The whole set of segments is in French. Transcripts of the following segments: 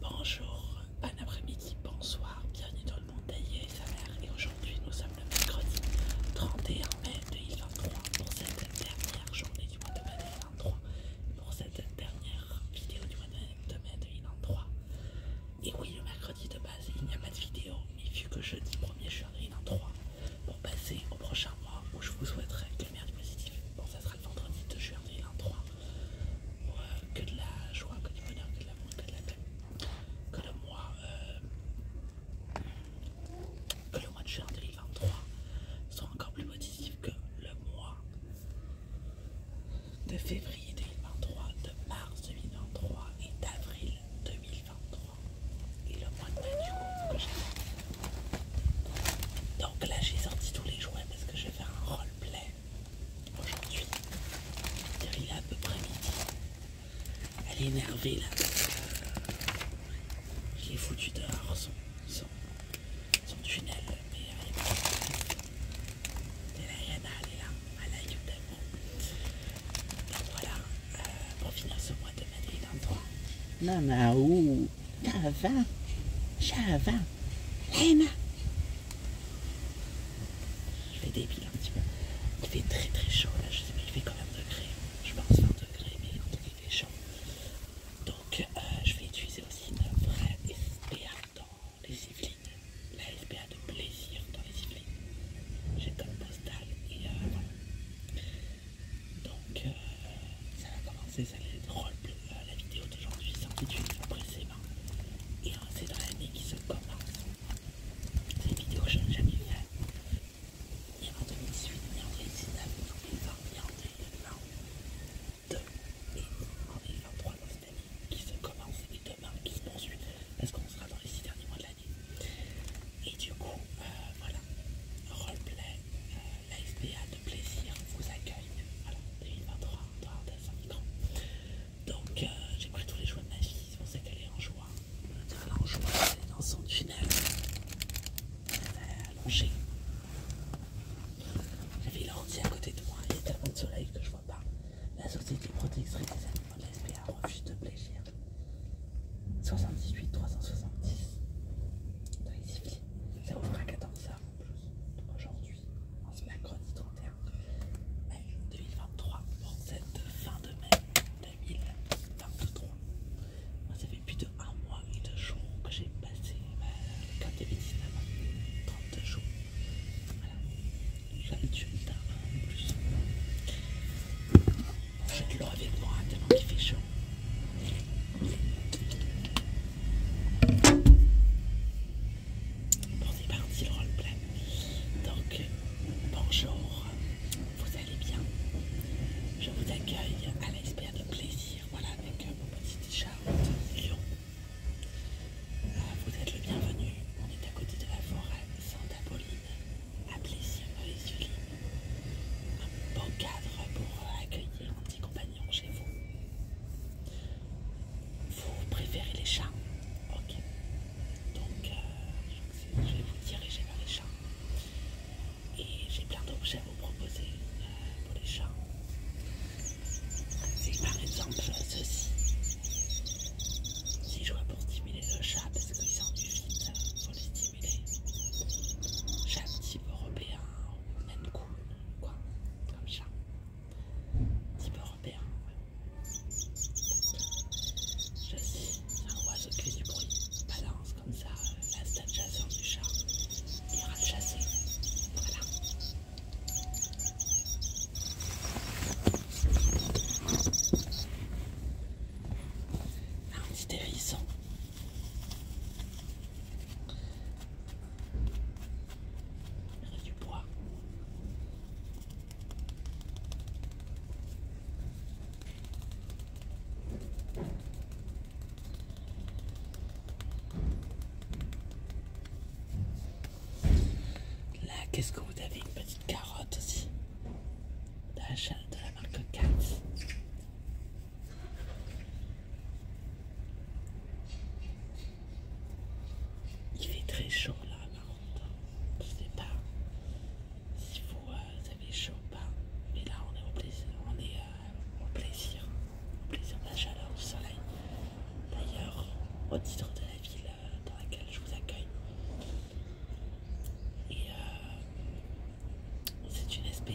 Bonjour, bon après-midi, bonsoir, bienvenue dans le monde d'Aïe et sa mère. Et aujourd'hui, nous sommes le mercredi 31 mai 2023 pour cette dernière journée du mois de mai 2023, pour cette dernière vidéo du mois de mai 2023. Et oui, le mercredi de base, il n'y a pas de vidéo, mais vu que jeudi 1er juin 2023, pour passer au prochain mois où je vous souhaiterai que le merde positif, bon, ça sera le vendredi 2 juin 2023 que de la joie, que du bonheur, que de que de la paix. Que le mois, euh, que le mois de juin 2023 soit encore plus positif que le mois de février 2023, de mars 2023 et d'avril 2023. Et le mois de mai du coup Donc là j'ai sorti tous les jouets parce que je vais faire un roleplay aujourd'hui. Il est à peu près midi. Elle est énervée là. Euh, j'ai foutu dehors son, tunnel. Mais elle est pas Yana, elle est là. Elle a eu Donc voilà, euh, pour finir ce mois de mai, dans Non, Java, Java, Emma. Je vais débile un petit peu. Il fait très très chaud là. Je sais pas, il fait quand même degrés Je pense 20 degrés, mais il fait chaud. Donc, euh, je vais utiliser aussi une vraie SPA dans les Yvelines. La SPA de plaisir dans les Yvelines. J'ai comme postal et euh, voilà. Donc, euh, ça va commencer la vidéo d'aujourd'hui s'intitule mains » Et hein, c'est dans l'année qui se commence. Cette vidéo je n'ai jamais fait. Ni en 2018, ni en 2019, ni en 2020, ni en 2022. Et en 3 dans cette année qui se commence et demain qui se poursuit. Parce qu'on sera dans les 6 derniers mois de l'année. Et du coup, euh, voilà. Roleplay. Euh, la SPA de plaisir vous accueille. Voilà, 2023, Antoine son micro. Donc, euh, j'ai pris tous les choix de ma fille, c'est pour ça qu'elle est en joie. Elle est en joie, elle est dans son tunnel. Elle est allongée. J'avais l'ordi à côté de moi, il y a tellement de soleil que je vois pas. La Société Protectrice des Animaux de la SPA refuse de plaisir. 78 370. ça ouvre à 14h en plus. Aujourd'hui. On à en ce mercredi 31 mai 2023 pour cette fin de mai 2023. Ça fait plus de un mois et deux jours que j'ai passé le camp de cinéma. 32 jours. Voilà, j'ai l'habitude d'un an plus. J'ai de l'or avec moi tellement qu'il fait chaud. Bon, c'est parti le roleplay. Donc, bonjour, vous allez bien Je vous accueille à l'espère de plaisir, voilà, avec mon petit t-shirt Lyon. Euh, vous êtes le bienvenu, on est à côté de la forêt Santa-Pauline, à plaisir les yeux Un beau cadre pour accueillir un petit compagnon chez vous. Vous préférez les chats Ok. Donc, euh, je vais vous diriger vers les chats. Et j'ai plein d'objets à vous proposer euh, pour les chats. C'est par exemple ceci. Si je vois pour stimuler le chat parce qu'il sort du vide, euh, faut les stimuler. Chat type européen ou même cool, quoi, comme chat un petit peu européen, Je sais, un oiseau qui fait du bruit, balance comme ça la stade chasseur du chat, il ira le chasser. Voilà. Un petit hérisson a du bois. Là, qu'est-ce que vous avez Une petite carotte aussi. De la, de la marque 4. Il fait très chaud là, par contre. Hein. Je sais pas si euh, vous, avez chaud ou pas, mais là on est au plaisir, on est euh, au plaisir, plaisir de la chaleur, du soleil. D'ailleurs, au titre de la ville euh, dans laquelle je vous accueille, et c'est une SPA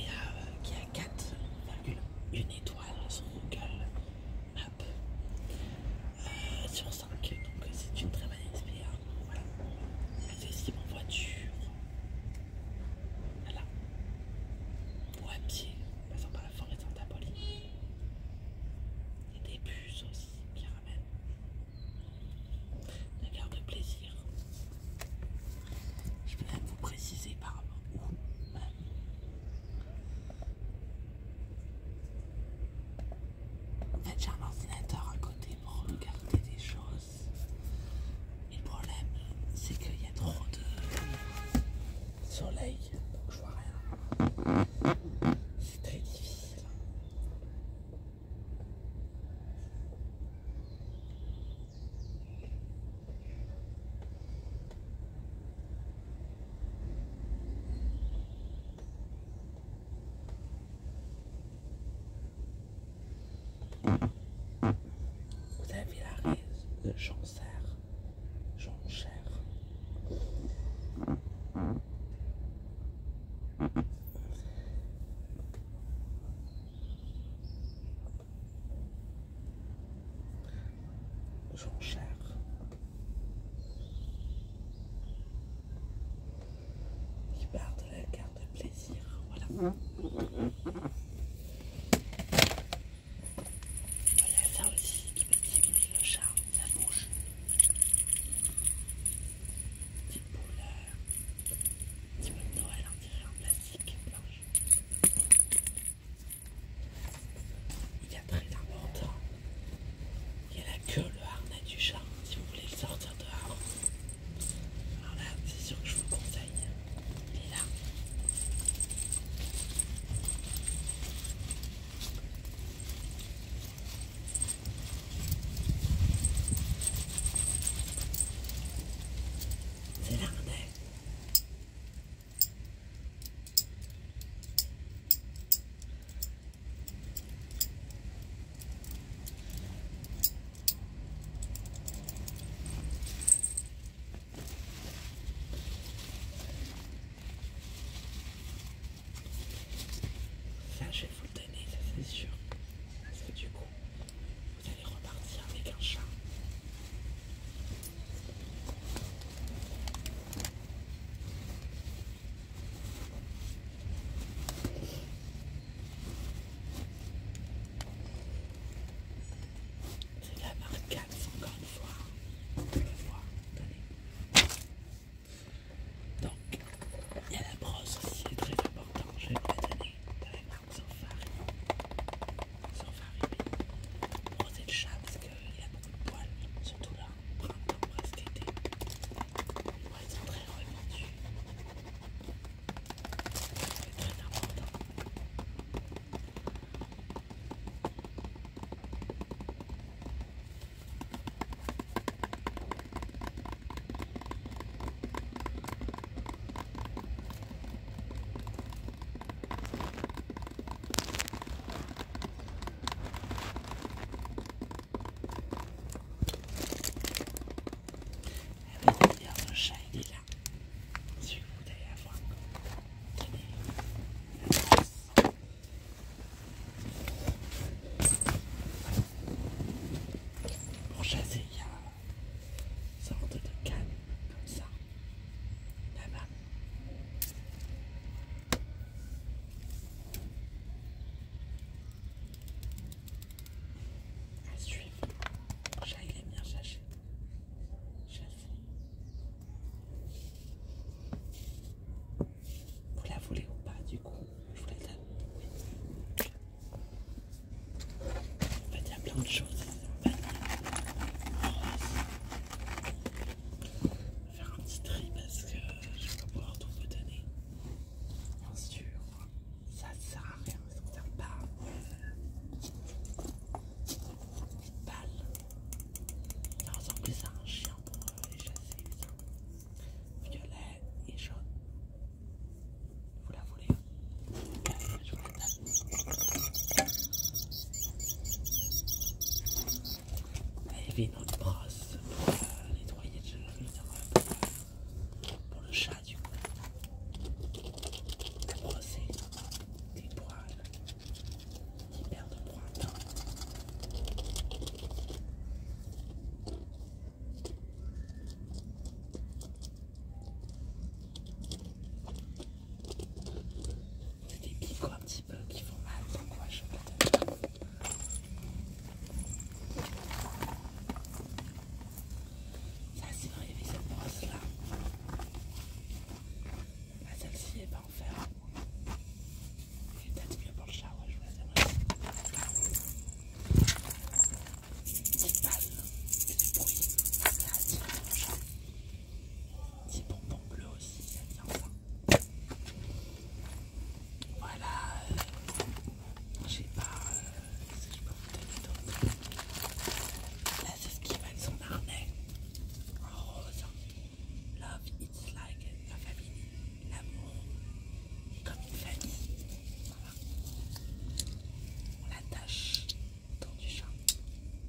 qui a 4,1 étoiles son Google. Hop. Euh, sur 5, donc euh, c'est une très bonne expérience. Hein. Voilà. C'est aussi mon voiture. Voilà. Pour un pied, passant par la forêt Santa y Et des bus aussi qui ramènent. La garde de plaisir. Je vais même vous préciser par rapport où. Un j'ai un ordinateur à côté pour regarder des choses. le problème, c'est qu'il y a trop de soleil, donc je vois rien. C'est très difficile. Vous avez la rise de j'en Jonchère. Jean-Char. Il part de la carte de plaisir. Voilà. Mmh. Voilà ça aussi qui peut stimuler le charme, la bouche. Petite boule, petit mot de Noël en plastique blanche il y a très important. Hein. Il y a la queue, le harnais du chat, si vous voulez le sortir dehors. Alors là, c'est sûr que je vous conseille. Il là. C'est l'harnais. Ça, je vais vous le donner, ça c'est sûr. Parce que du coup, vous allez repartir avec un chat. C'est la marque Gats, encore une fois. Donc, il y a la brosse aussi, c'est très important. Je vais vous la donner dans la marque Sophari. Sophari. oui. Brosser chat, il y a beaucoup de poils, surtout là, printemps, presque été. Ils poils sont très répandus. C'est très important. Ah oui, d'ailleurs, un chat, il est là. Si vous voulez avoir. Tenez. Pour chasser, il y a une sorte de canne comme ça. Là-bas. À suivre. J'aille les miens j'achète. J'achète. Vous la voulez ou pas, du coup Je vous la donne. En fait, il y a plein de choses. Je vais faire un petit tri parce que je vais pas pouvoir tout vous donner. Bien sûr, ça ne sert à rien, ça ne sert pas. Une balle. Ça ressemble plus à un chien pour euh, les chasser, ça. Violet et jaune. Vous la voulez Allez, hein. Je vous la donne à élever notre brosse pour nettoyer le pour, pour le chat du coup. brosse des poils, de c'est des picots un petit peu qui font mal, donc moi ouais, je vais Ça c'est vrai, il y avait cette brosse là. Bah, Celle-ci est pas en fer. C'est peut-être mieux pour le chat, ouais, je vous la C'est pas c'est du bruit. Ça attire le chat. Petit bonbon bleu aussi, ça vient ça. Voilà. Euh, je sais pas euh, ce que je peux vous donner d'autre. Là, c'est ce qui va être son harnais en rose. Love, it's like la famille, l'amour, comme une famille. Voilà. On l'attache autour du chat.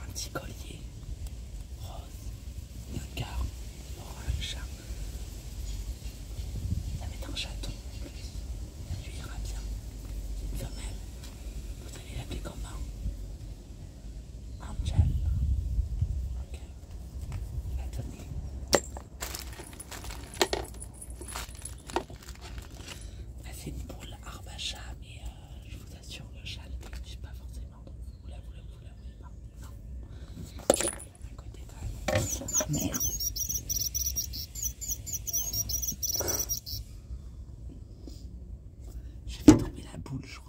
Un petit collier rose et un orange. Ça va être un chaton en plus. Ça lui ira bien. Une femelle, vous allez l'appeler comment Angel. Ok. attendez. Bah, c'est une boule arbacha, mais euh, je vous assure, le chat ne l'utilise pas forcément. oula vous la voulez, pas. Non. À côté, quand même. tomber la boule, je crois.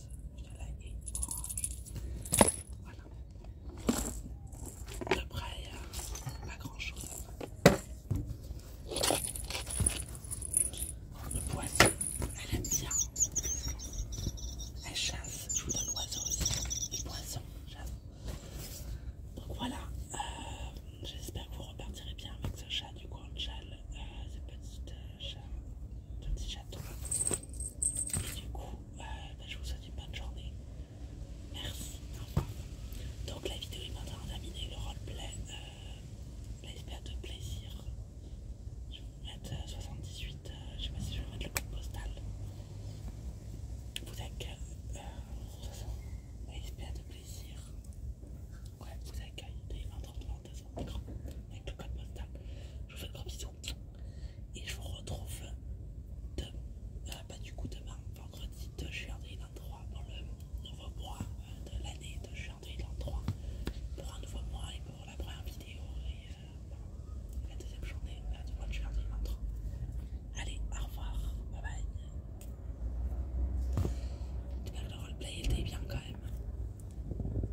Voilà, et orange. Voilà. De près, pas grand chose. Le poisson, elle aime bien. Elle chasse, je vous donne l'oiseau aussi. Le poisson, chasse. Donc voilà, j'espère que vous repartirez bien avec ce chat du Guangchal ce petit, Et du coup, je vous souhaite une bonne journée. Merci, au Donc la vidéo est maintenant terminée, le roleplay, plein. l'espère de plaisir. Je vais vous mettre 78, je sais pas si je vais mettre le code postal. Vous êtes. que l'espère de plaisir. Ouais, vous accueille des 1,33 de son écran avec le code postal. Je vous fais de gros bisous et je vous retrouve demain euh, bah, du coup demain, vendredi 2 juin 2023 pour le nouveau mois euh, de l'année de juin 3 pour un nouveau mois et pour la première vidéo et euh, la deuxième journée du mois de juin 2023. Allez, au revoir, bye bye. J'espère que le roleplay était bien quand même.